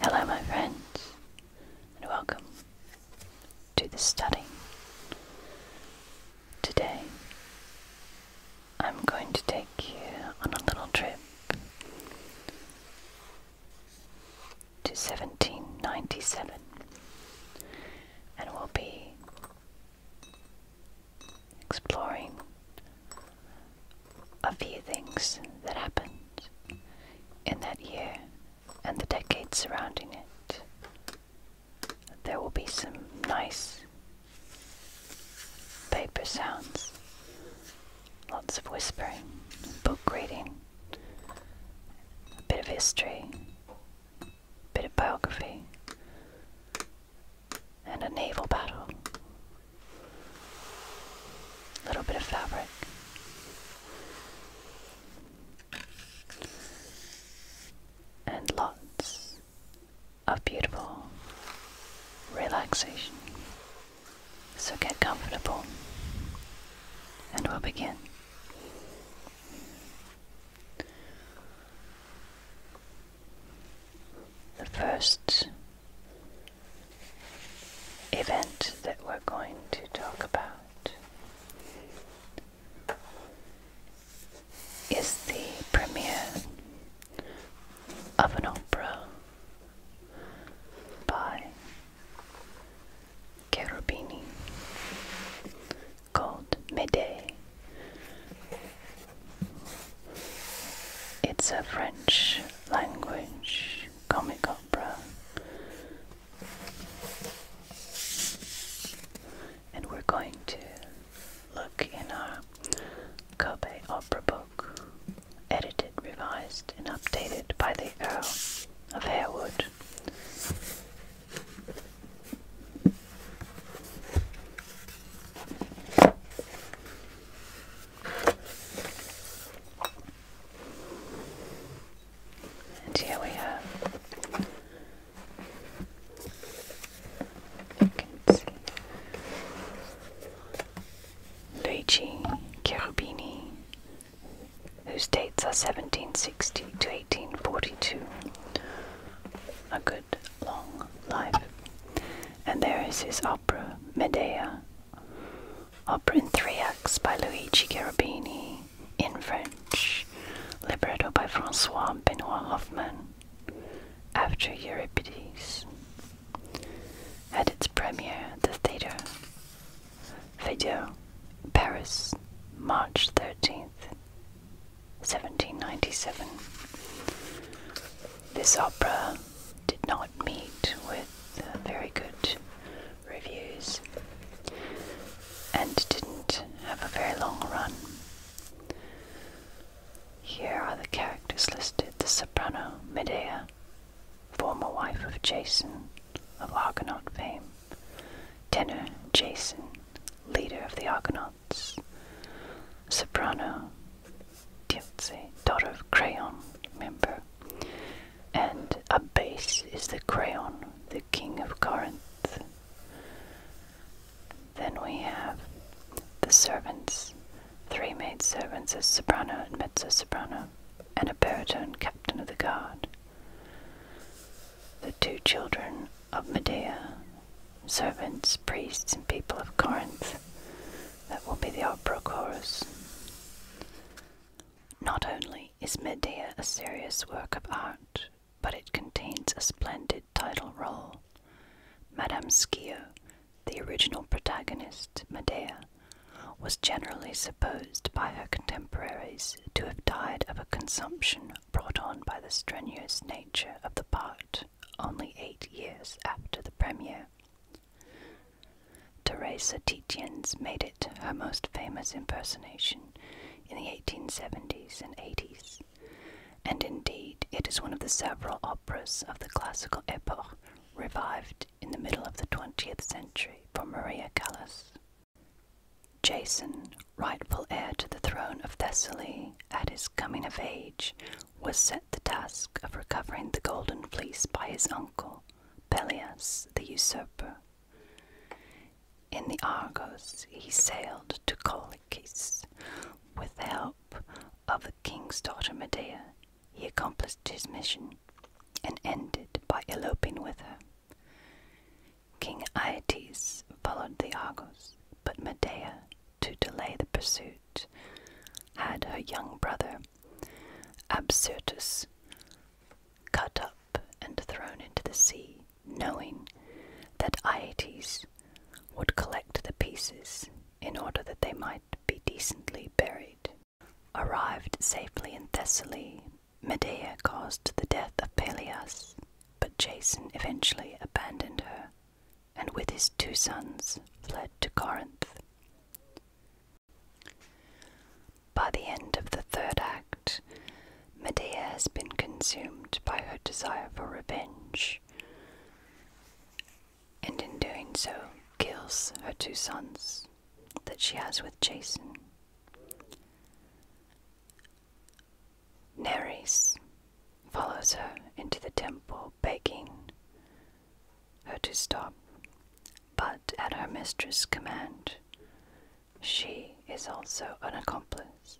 Hello, my friends, and welcome to the study. Today, I'm going to take you on a little trip to 1797, and we'll be exploring a few things that happened in that year and the decades surrounding it. There will be some nice paper sounds, lots of whispering, book reading, a bit of history, a bit of biography, and a naval battle a little bit of fabric. And lots of beautiful relaxation. So get comfortable and we'll begin. The first event that we're going to talk about is the premiere of an opera by Cherubini called Medée. It's a French language comic opera. And we're going to look in our Kobe Opera Book, edited, revised, and updated by the Earl of Harewood. And here we have. You can Luigi Cherubini, whose dates are 1760 to 1842. A good long life. And there is his opera, Medea, opera in three acts by Luigi Garabini, in French, libretto by Francois Benoit Hoffman, after Euripides. At its premiere at the Theatre Feydeau, Paris, March 13th, 1797. This opera did not meet with uh, very good reviews and didn't have a very long run. Here are the characters listed the soprano Medea, former wife of Jason of Argonaut fame, tenor Jason, leader of the Argonauts, soprano Diltze, daughter of Creon, member, and Abase is the crayon, the king of Corinth. Then we have the servants, three maid servants as soprano and mezzo soprano, and a baritone captain of the guard. The two children of Medea, servants, priests, and people of Corinth. That will be the opera chorus. Not only is Medea a serious work of art, but it contains a splendid title role. Madame Schio, the original protagonist, Medea, was generally supposed by her contemporaries to have died of a consumption brought on by the strenuous nature of the part only eight years after the premiere. Teresa Tietjens made it her most famous impersonation in the 1870s and 80s, and indeed it is one of the several operas of the classical epoch revived in the middle of the 20th century for Maria Callas. Jason, rightful heir to the throne of Thessaly at his coming of age, was set the task of recovering the Golden Fleece by his uncle, Pelias the usurper. In the Argos he sailed to Colchis. With the help of the king's daughter Medea, he accomplished his mission and ended by eloping with her. King Aeetes followed the Argos, but Medea, to delay the pursuit, had her young brother Absyrtus cut up and thrown into the sea, knowing that Aeetes would collect the pieces in order that they might be decently buried. Arrived safely in Thessaly, Medea caused the death of Pelias, but Jason eventually abandoned her and with his two sons fled to Corinth. By the end of the third act, Medea has been consumed by her desire for revenge, and in doing so, kills her two sons that she has with Jason. Nereus follows her into the temple begging her to stop, but at her mistress' command, she is also an accomplice.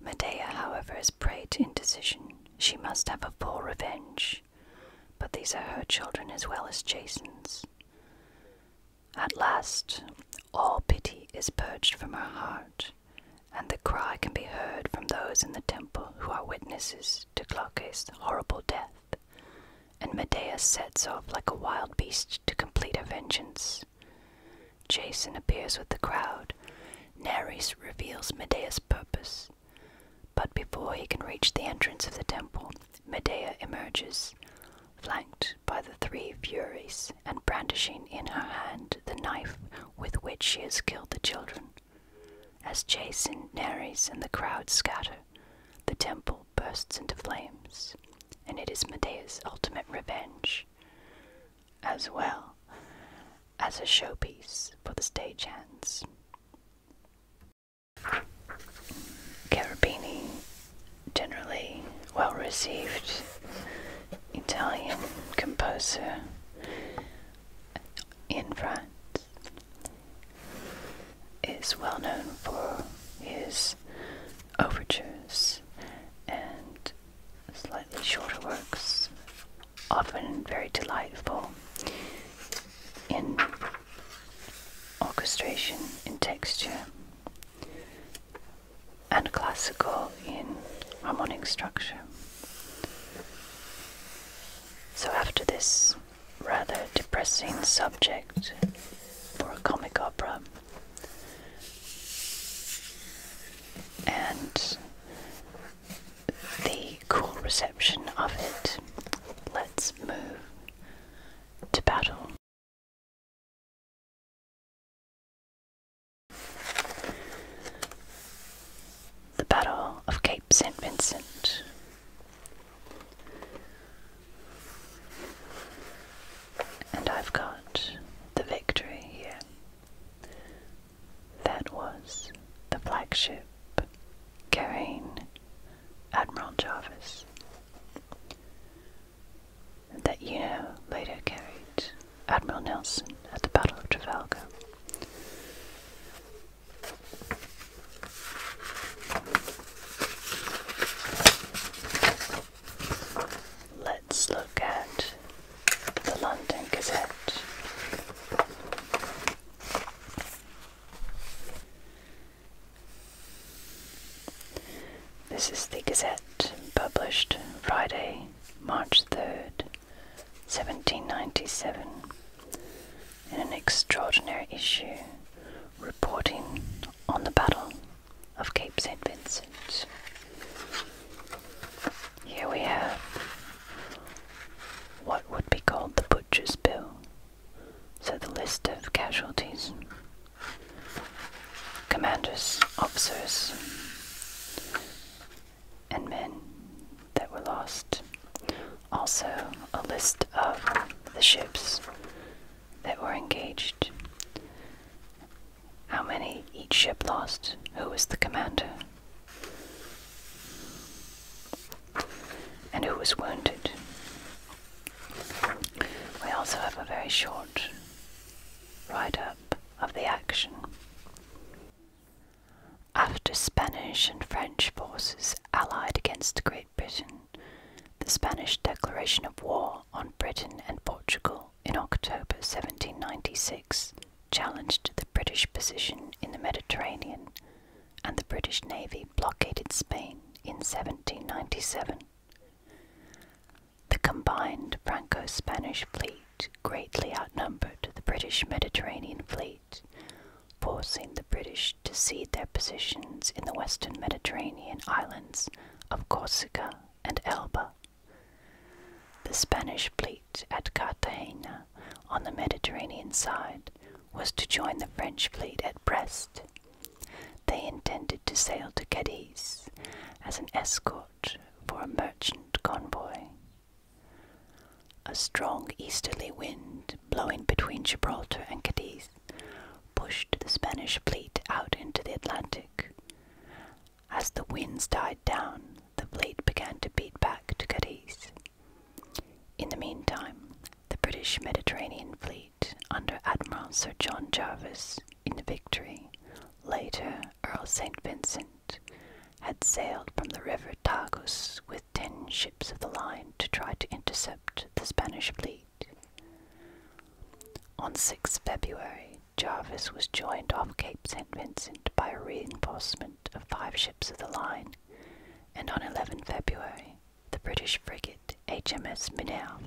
Medea, however, is prey to indecision. She must have a full revenge, but these are her children as well as Jason's. At last, all pity is purged from her heart, and the cry can be heard from those in the temple who are witnesses to Glaucus' horrible death and Medea sets off like a wild beast to complete her vengeance. Jason appears with the crowd. Nares reveals Medea's purpose. But before he can reach the entrance of the temple, Medea emerges, flanked by the three Furies and brandishing in her hand the knife with which she has killed the children. As Jason, Nares, and the crowd scatter, the temple bursts into flames, and it is Medea's ultimate revenge, as well as a showpiece for the stagehands. Carabini, generally well received Italian composer in France, is well known for his overtures and slightly shorter works, often very delightful in orchestration, in texture, and classical in harmonic structure. So after this rather depressing subject for a comic opera. And the cool reception of it. Let's move to battle. The Battle of Cape St. Vincent. And I've got the victory here. That was the flagship carrying Admiral Jarvis, that you know later carried Admiral Nelson at the Battle of Trafalgar. Let's look at the London Gazette. This is the Gazette published Friday, March 3rd, 1797, in an extraordinary issue reporting on the Battle of Cape St. Vincent. Here we have what would be called the Butcher's Bill, so the list of casualties, commanders, officers, and men that were lost. Also, a list of the ships that were engaged? How many each ship lost? Who was the commander? And who was wounded? We also have a very short ride up of the action. After Spanish and French forces allied against the Great Britain, the Spanish declaration of war on Britain and Portugal in October 1796 challenged the British position in the Mediterranean, and the British Navy blockaded Spain in 1797. The combined Franco Spanish fleet greatly outnumbered the British Mediterranean fleet, forcing the British to cede their positions in the western Mediterranean islands of Corsica and Elba. The Spanish fleet at Cartagena on the Mediterranean side was to join the French fleet at Brest. They intended to sail to Cadiz as an escort for a merchant convoy. A strong easterly wind blowing between Gibraltar and Cadiz pushed the Spanish fleet out into the Atlantic. As the winds died down, the fleet began to beat back to Cadiz. In the meantime, the British Mediterranean fleet, under Admiral Sir John Jervis in the Victory, later Earl St. Vincent, had sailed from the river Tagus with ten ships of the line to try to intercept the Spanish fleet. On 6 February, Jarvis was joined off Cape St. Vincent by a reinforcement of five ships of the line, and on 11 February, the British frigate HMS Minerve,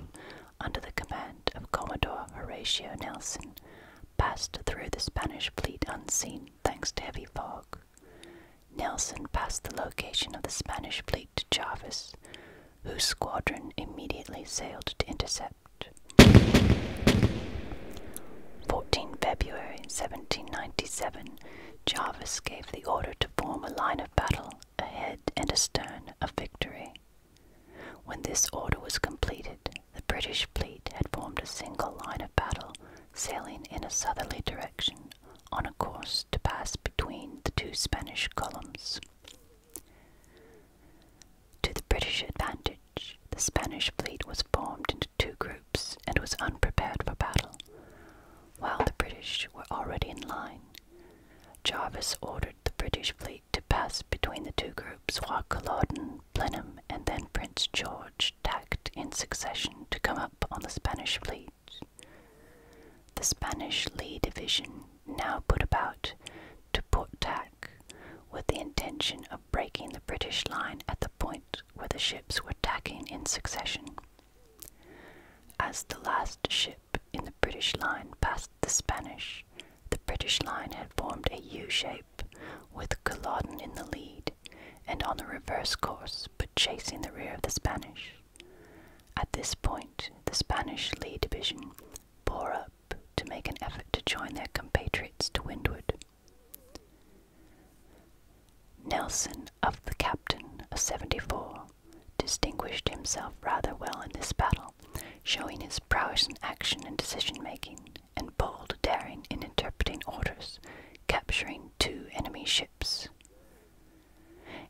under the command of Commodore Horatio Nelson, passed through the Spanish fleet unseen thanks to heavy fog. Nelson passed the location of the Spanish fleet to Jarvis, whose squadron immediately sailed to intercept. 14 February 1797, Jarvis gave the order to form a line of battle ahead and astern of Victory. When this order was completed, the British fleet had formed a single line of battle, sailing in a southerly direction on a course to pass between the two Spanish columns. To the British advantage, the Spanish fleet was formed into two groups and was unprepared for battle. While the British were already in line, Jarvis ordered the British fleet to pass between the two groups while Culloden, Blenheim, and then Prince George tacked in succession to come up on the Spanish fleet. The Spanish Lee Division now put about to Port Tack with the intention of breaking the British line at the point where the ships were tacking in succession. As the last ship in the British line passed the Spanish, the British line had formed a U shape with Culloden in the lead and on the reverse course but chasing the rear of the Spanish. At this point, the Spanish Lee Division bore up to make an effort to join their compatriots to windward. Nelson, of the captain, a 74, distinguished himself rather well in this battle, showing his prowess in action and decision making, and bold daring in interpreting orders, capturing two enemy ships.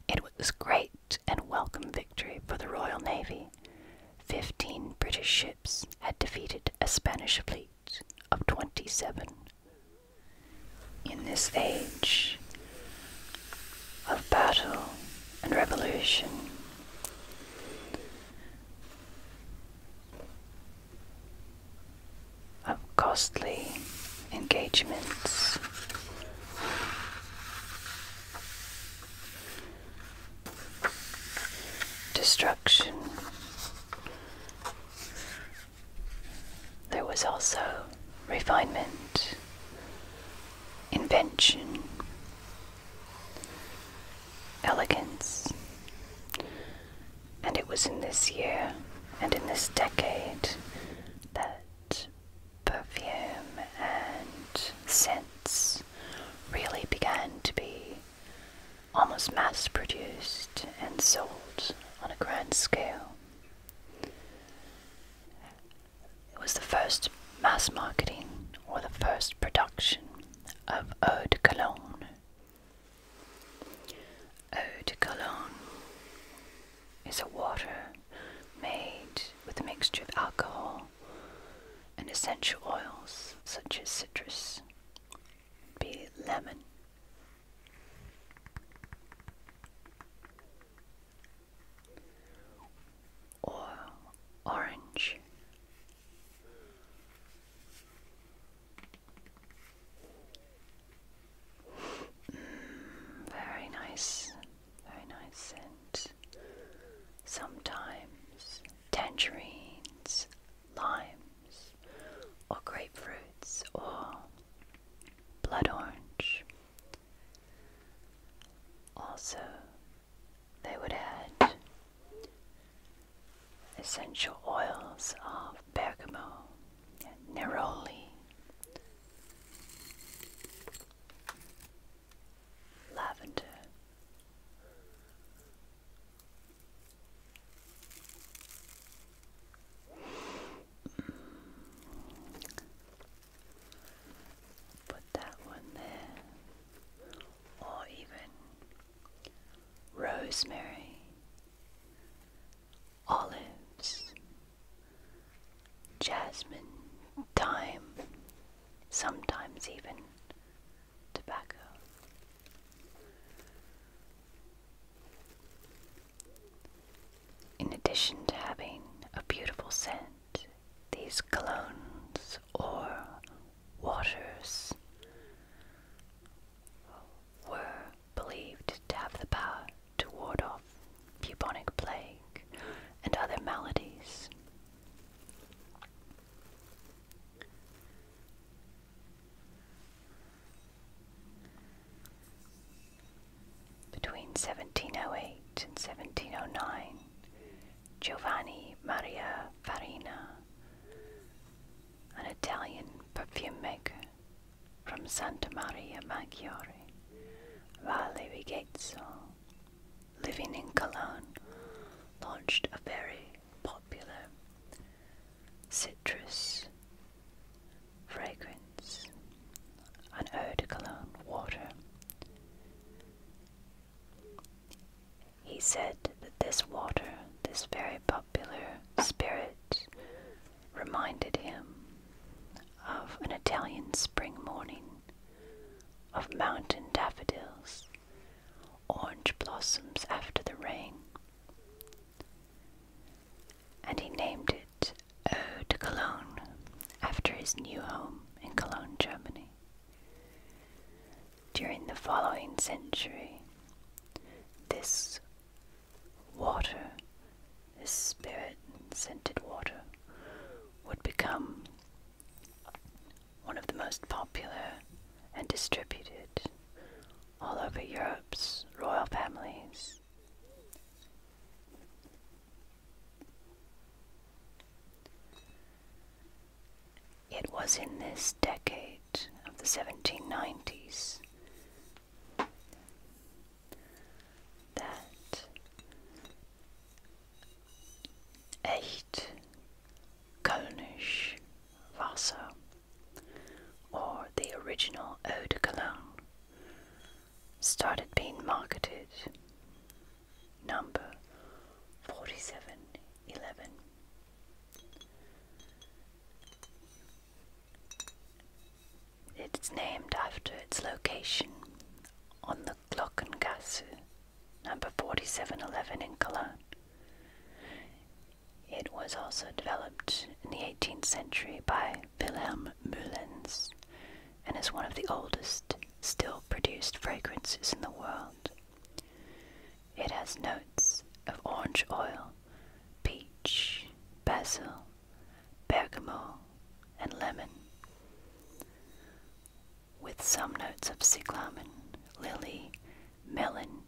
It was great and welcome victory for the Royal Navy. Fifteen British ships had defeated a Spanish fleet of 27. In this age of battle and revolution, of costly engagements destruction. There was also refinement, invention, elegance. And it was in this year and in this decade that perfume and scents really began to be almost mass produced and sold on a grand scale. It was the first mass marketing or the first production of eau de cologne. Eau de cologne is a water made with a mixture of alcohol and essential oils such as citrus, be lemon. Or orange. Mm, very nice. Very nice scent. Sometimes tangerines, limes, or grapefruits, or blood orange. Also, they would add essential oils of bergamot and neroli lavender. Put that one there, or even rosemary, olives, jasmine, thyme, sometimes even tobacco. In addition to having a beautiful scent, these colognes or waters were believed to have the power to ward off bubonic plague, and other maladies. Between 1708 and 1709, Giovanni Maria Farina, an Italian perfume maker from Santa Maria Maggiore, Valle Vigezzo, living in Cologne, launched a very popular citrus fragrance, an eau de cologne water. He said that this water, this very popular spirit, reminded him of an Italian spring morning of mountain daffodils, orange blossoms after the rain. And he named it Eau de Cologne after his new home in Cologne, Germany. During the following century, this water, this spirit scented water, would become one of the most popular and distributed all over Europe's royal families. It was in this decade of the 1790s that echt Kölnisch Wasser or the original Eau de Cologne started being marketed number 4711. It's named after its location on the Glockengasse number 4711 in Cologne. It was also developed in the 18th century by Wilhelm Mullens and is one of the oldest still produced fragrances in the world. It has notes of orange oil, peach, basil, bergamot, and lemon with some notes of cyclamen, lily, melon,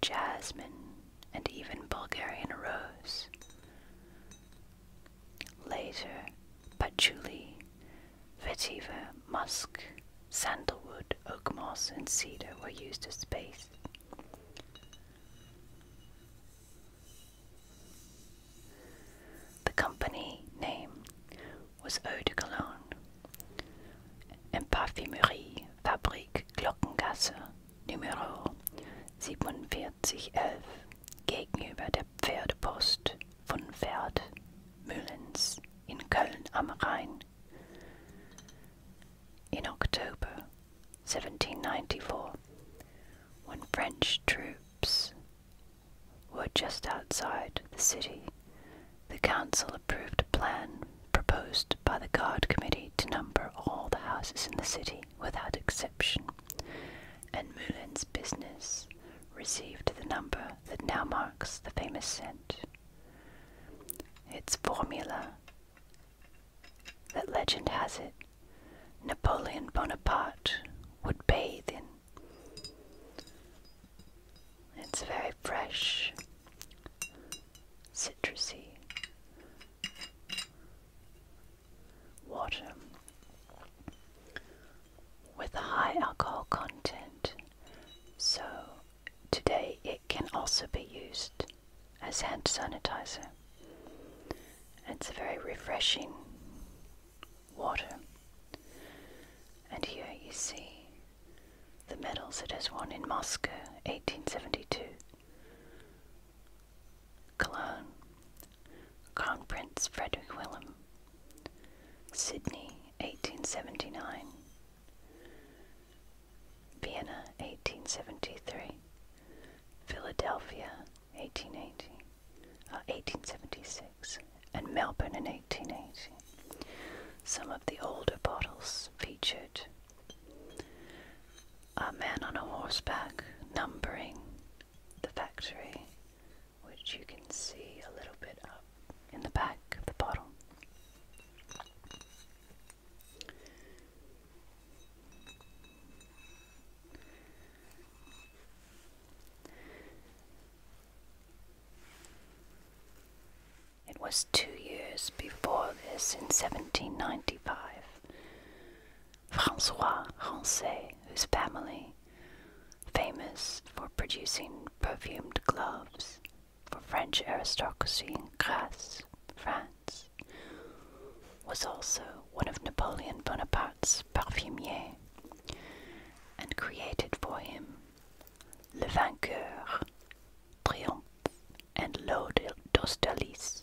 jasmine, and even Bulgarian rose. Later, patchouli, vetiver, musk, sandalwood, oak moss, and cedar were used as base. The company name was Eau de Cologne and Parfumerie Fabrik Glockengasse Numero 4711 gegenüber der Pferdepost von Pferd Mühlens in Köln am Rhein. In October 1794, when French troops were just outside the city. The council approved a plan proposed by the guard committee to number all the houses in the city without exception, and Moulin's business received the number that now marks the famous scent. Its formula, that legend has it, Napoleon Bonaparte would bathe in. It's very fresh, citrusy. Water with a high alcohol content, so today it can also be used as hand sanitizer. It's very refreshing water. And here you see the medals it has won in Moscow, 1872, Cologne, Crown Prince Frederick William, Sydney, 1879, Vienna, 1873, Philadelphia, 1880, uh, 1876, and Melbourne in 1880. Some of the older bottles featured a man on a horseback numbering the factory, which you can see a little bit up in the back of the bottle. It was two years before this, in 1795, Francois Rancé, whose family, famous for producing perfumed gloves for French aristocracy in Grasse, France, was also one of Napoleon Bonaparte's parfumiers and created for him Le Vainqueur, Triomphe, and L'Ode d'ostalise.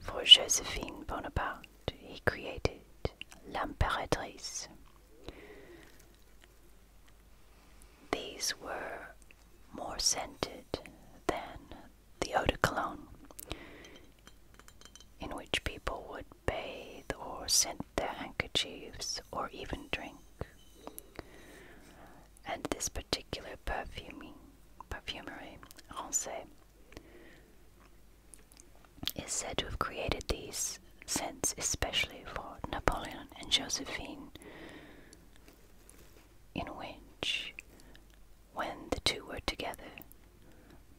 For Josephine Bonaparte, he created L'Imperatrice. These were more scented than the eau de cologne, in which people would bathe or scent their handkerchiefs or even drink. And this particular perfuming, perfumery, Rancé, is said to have created these scents especially for Napoleon and Josephine, in which, when the two were together,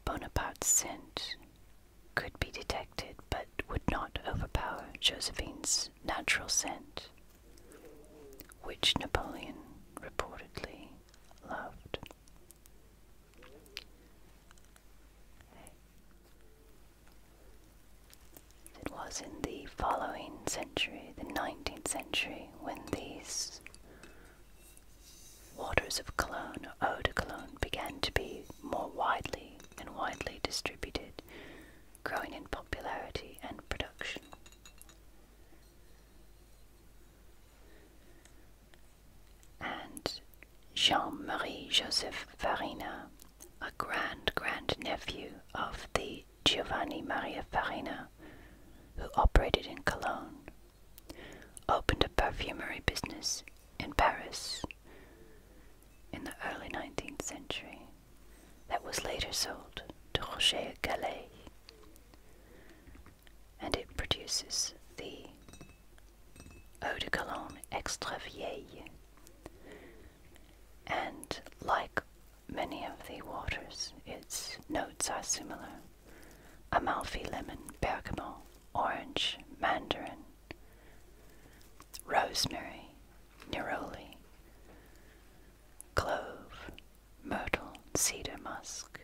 Bonaparte sent could be detected but would not overpower Josephine's natural scent, which Napoleon reportedly loved. It was in the following century, the 19th century, when these Waters of cologne or eau de cologne began to be more widely and widely distributed, growing in popularity and production. And Jean-Marie Joseph Farina, a grand-grand-nephew of the Giovanni Maria Farina, who operated in Cologne, opened a perfumery business in Paris in the early 19th century that was later sold to Roger Gallet, and it produces the Eau de Cologne Extra Vieille. And like many of the waters, its notes are similar Amalfi lemon, bergamot, orange, mandarin, rosemary, neroli, clove, myrtle, cedar musk,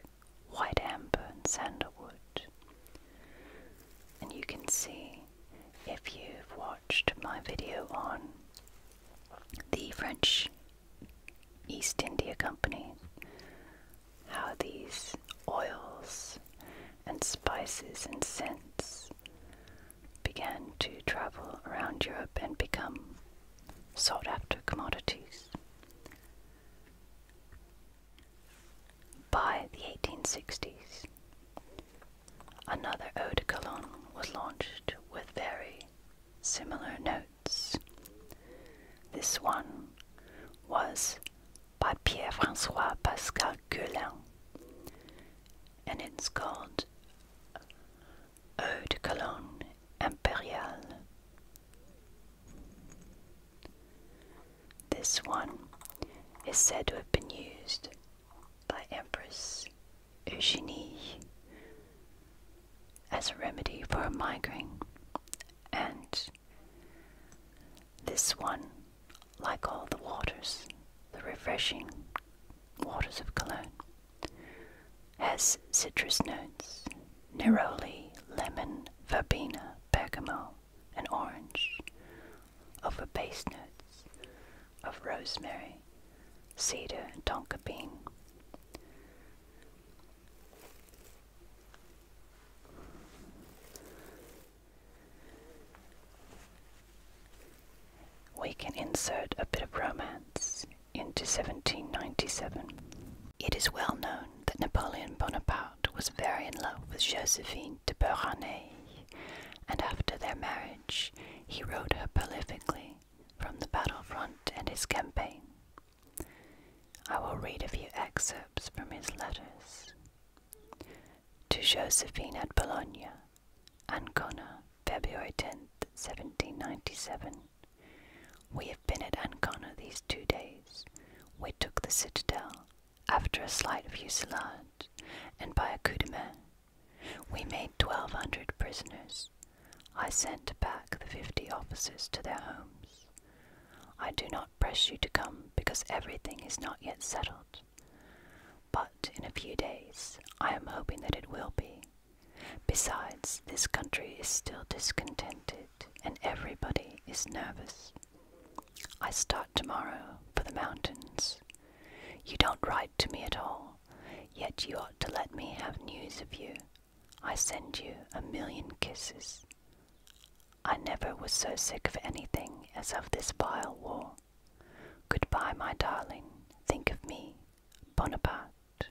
white amber, and sandalwood. And you can see if you've watched my video on the French East India Company, how these oils and spices and scents began to travel around Europe and become sought after commodities. By the 1860s, another eau de cologne was launched with very similar notes. This one was by Pierre-François Pascal Guelin. And it's called Eau Cologne Impériale. This one is said to have been used by Empress Eugenie as a remedy for a migraine, and this one like all the waters, the refreshing waters of Cologne, has citrus notes, neroli, lemon, verbena, bergamot, and orange, over base notes of rosemary, cedar, and tonka bean. We can insert a bit of romance into 1797. It is well known that Napoleon Bonaparte was very in love with Josephine de Beauharnais, and after their marriage, he wrote her prolifically from the battlefront and his campaign. I will read a few excerpts from his letters to Josephine at Bologna, Ancona, February tenth, seventeen 1797. We have been at Ancona these two days. We took the citadel, after a slight fusillade, and by a coup de main. We made 1,200 prisoners. I sent back the 50 officers to their homes. I do not press you to come because everything is not yet settled. But in a few days, I am hoping that it will be. Besides, this country is still discontented and everybody is nervous. I start tomorrow for the mountains. You don't write to me at all, yet you ought to let me have news of you. I send you a million kisses. I never was so sick of anything as of this vile war. Goodbye, my darling. Think of me, Bonaparte.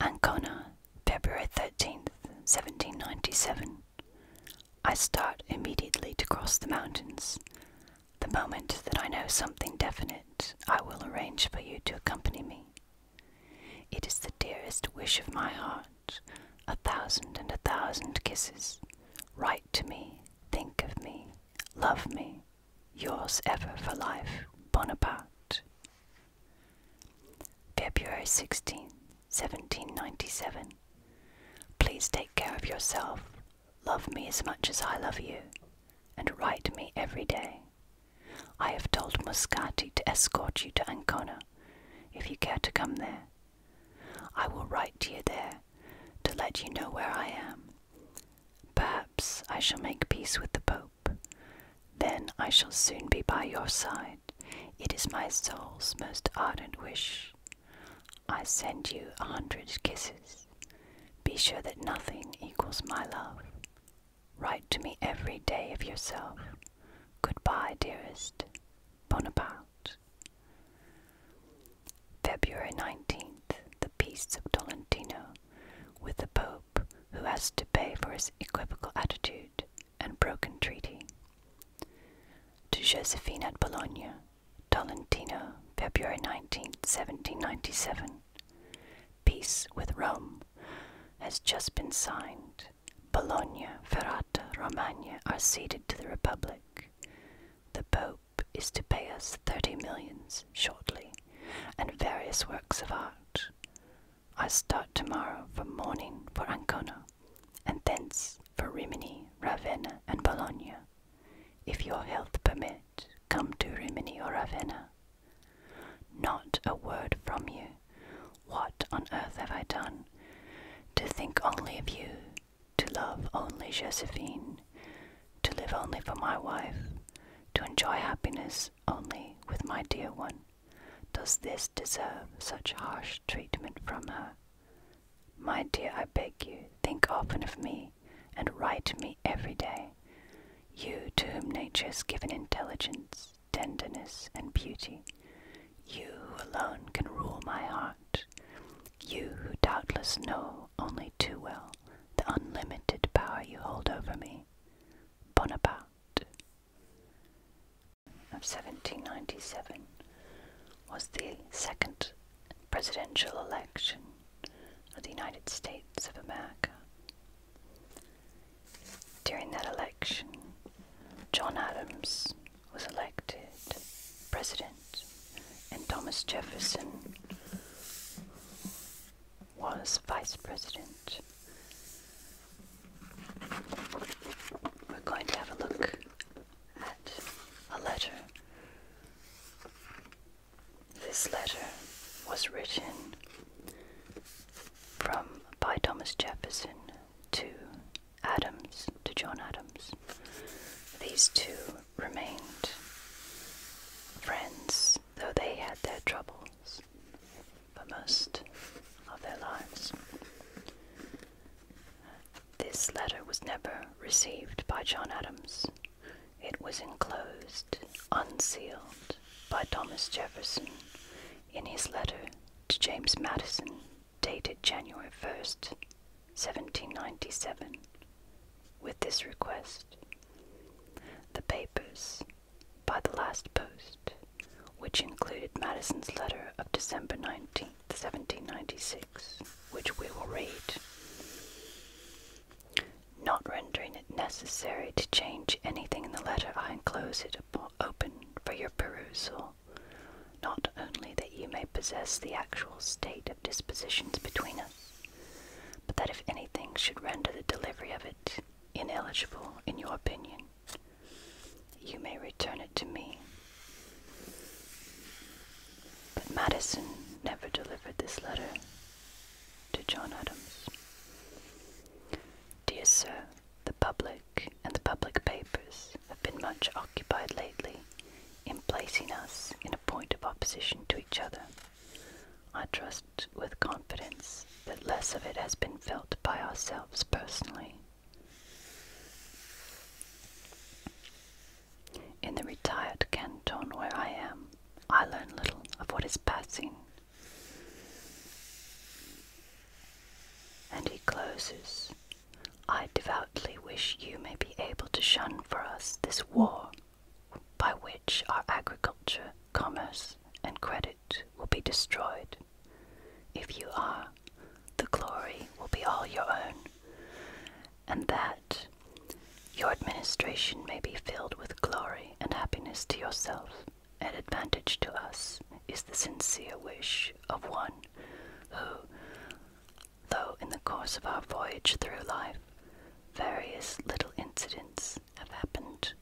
Ancona, February 13th, 1797. I start immediately to cross the mountains. The moment that I know something definite, I will arrange for you to accompany me. It is the dearest wish of my heart a thousand and a thousand kisses. Write to me, think of me, love me. Yours ever for life, Bonaparte. February sixteenth, 1797. Please take care of yourself. Love me as much as I love you, and write me every day. I have told Muscati to escort you to Ancona, if you care to come there. I will write to you there to let you know where I am. Perhaps I shall make peace with the Pope. Then I shall soon be by your side. It is my soul's most ardent wish. I send you a hundred kisses. Be sure that nothing equals my love. Write to me every day of yourself. Goodbye, dearest. Bonaparte. February 19th, the Peace of Tolentino with the Pope, who has to pay for his equivocal attitude and broken treaty. To Josephine at Bologna, Tolentino, February nineteenth, seventeen 1797. Peace with Rome has just been signed. Bologna, Ferrata, Romagna are ceded to the Republic. The Pope is to pay us thirty millions shortly, and various works of art. I start tomorrow from morning for Ancona, and thence for Rimini, Ravenna, and Bologna. If your health permit, come to Rimini or Ravenna. Not a word from you, what on earth have I done? To think only of you, to love only Josephine, to live only for my wife, to enjoy happiness only with my dear one. Does this deserve such harsh treatment from her? My dear, I beg you, think often of me, and write me every day. You to whom nature has given intelligence, tenderness, and beauty, you alone can rule my heart, you who doubtless know only too well the unlimited power you hold over me, Bonaparte of 1797 was the second presidential election of the United States of America. During that election, John Adams was elected president, and Thomas Jefferson was vice president. We're going to have a look at a letter. This letter was written from by Thomas Jefferson to Adams to John Adams. These two remained friends, though they had their troubles for most of their lives. This letter was never received by John Adams. It was enclosed, unsealed, by Thomas Jefferson in his letter to James Madison dated January 1st, 1797, with this request The papers by the last post, which included Madison's letter of December 19th, 1796, which we will read. Not rendering it necessary to change anything in the letter, I enclose it open for your perusal not only that you may possess the actual state of dispositions between us, but that if anything should render the delivery of it ineligible in your opinion, you may return it to me. But Madison never delivered this letter to John Adams. Dear Sir, the public and the public papers have been much occupied lately in placing us in a point of opposition to each other. I trust with confidence that less of it has been felt by ourselves personally. In the retired canton where I am, I learn little of what is passing. And he closes I devoutly wish you may be able to shun for us this war by which our agriculture, commerce, and credit will be destroyed. If you are, the glory will be all your own, and that your administration may be filled with glory and happiness to yourself and advantage to us is the sincere wish of one who, though in the course of our voyage through life, various little incidents have happened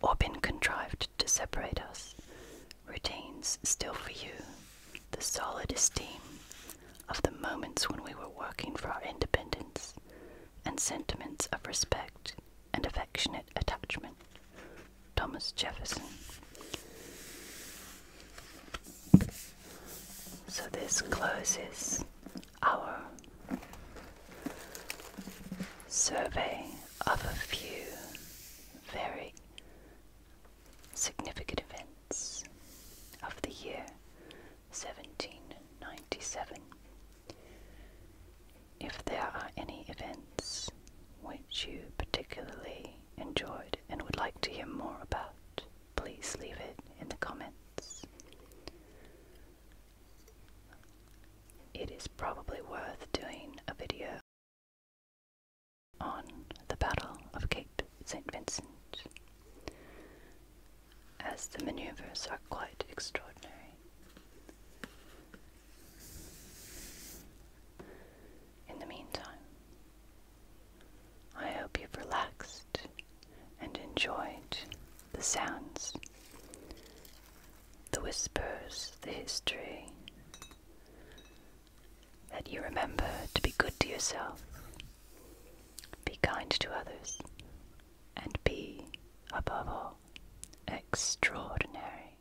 or been contrived to separate us, retains still for you the solid esteem of the moments when we were working for our independence and sentiments of respect and affectionate attachment. Thomas Jefferson. So this closes our survey of a few very significant events of the year 1797. If there are any events which you particularly enjoyed and would like to hear more about, please leave it in the comments. It is probably worth doing a video on the Battle of Cape St. Vincent, as the maneuvers are quite extraordinary. In the meantime, I hope you've relaxed and enjoyed the sounds, the whispers, the history, that you remember to be good to yourself, be kind to others, and be, above all, extraordinary.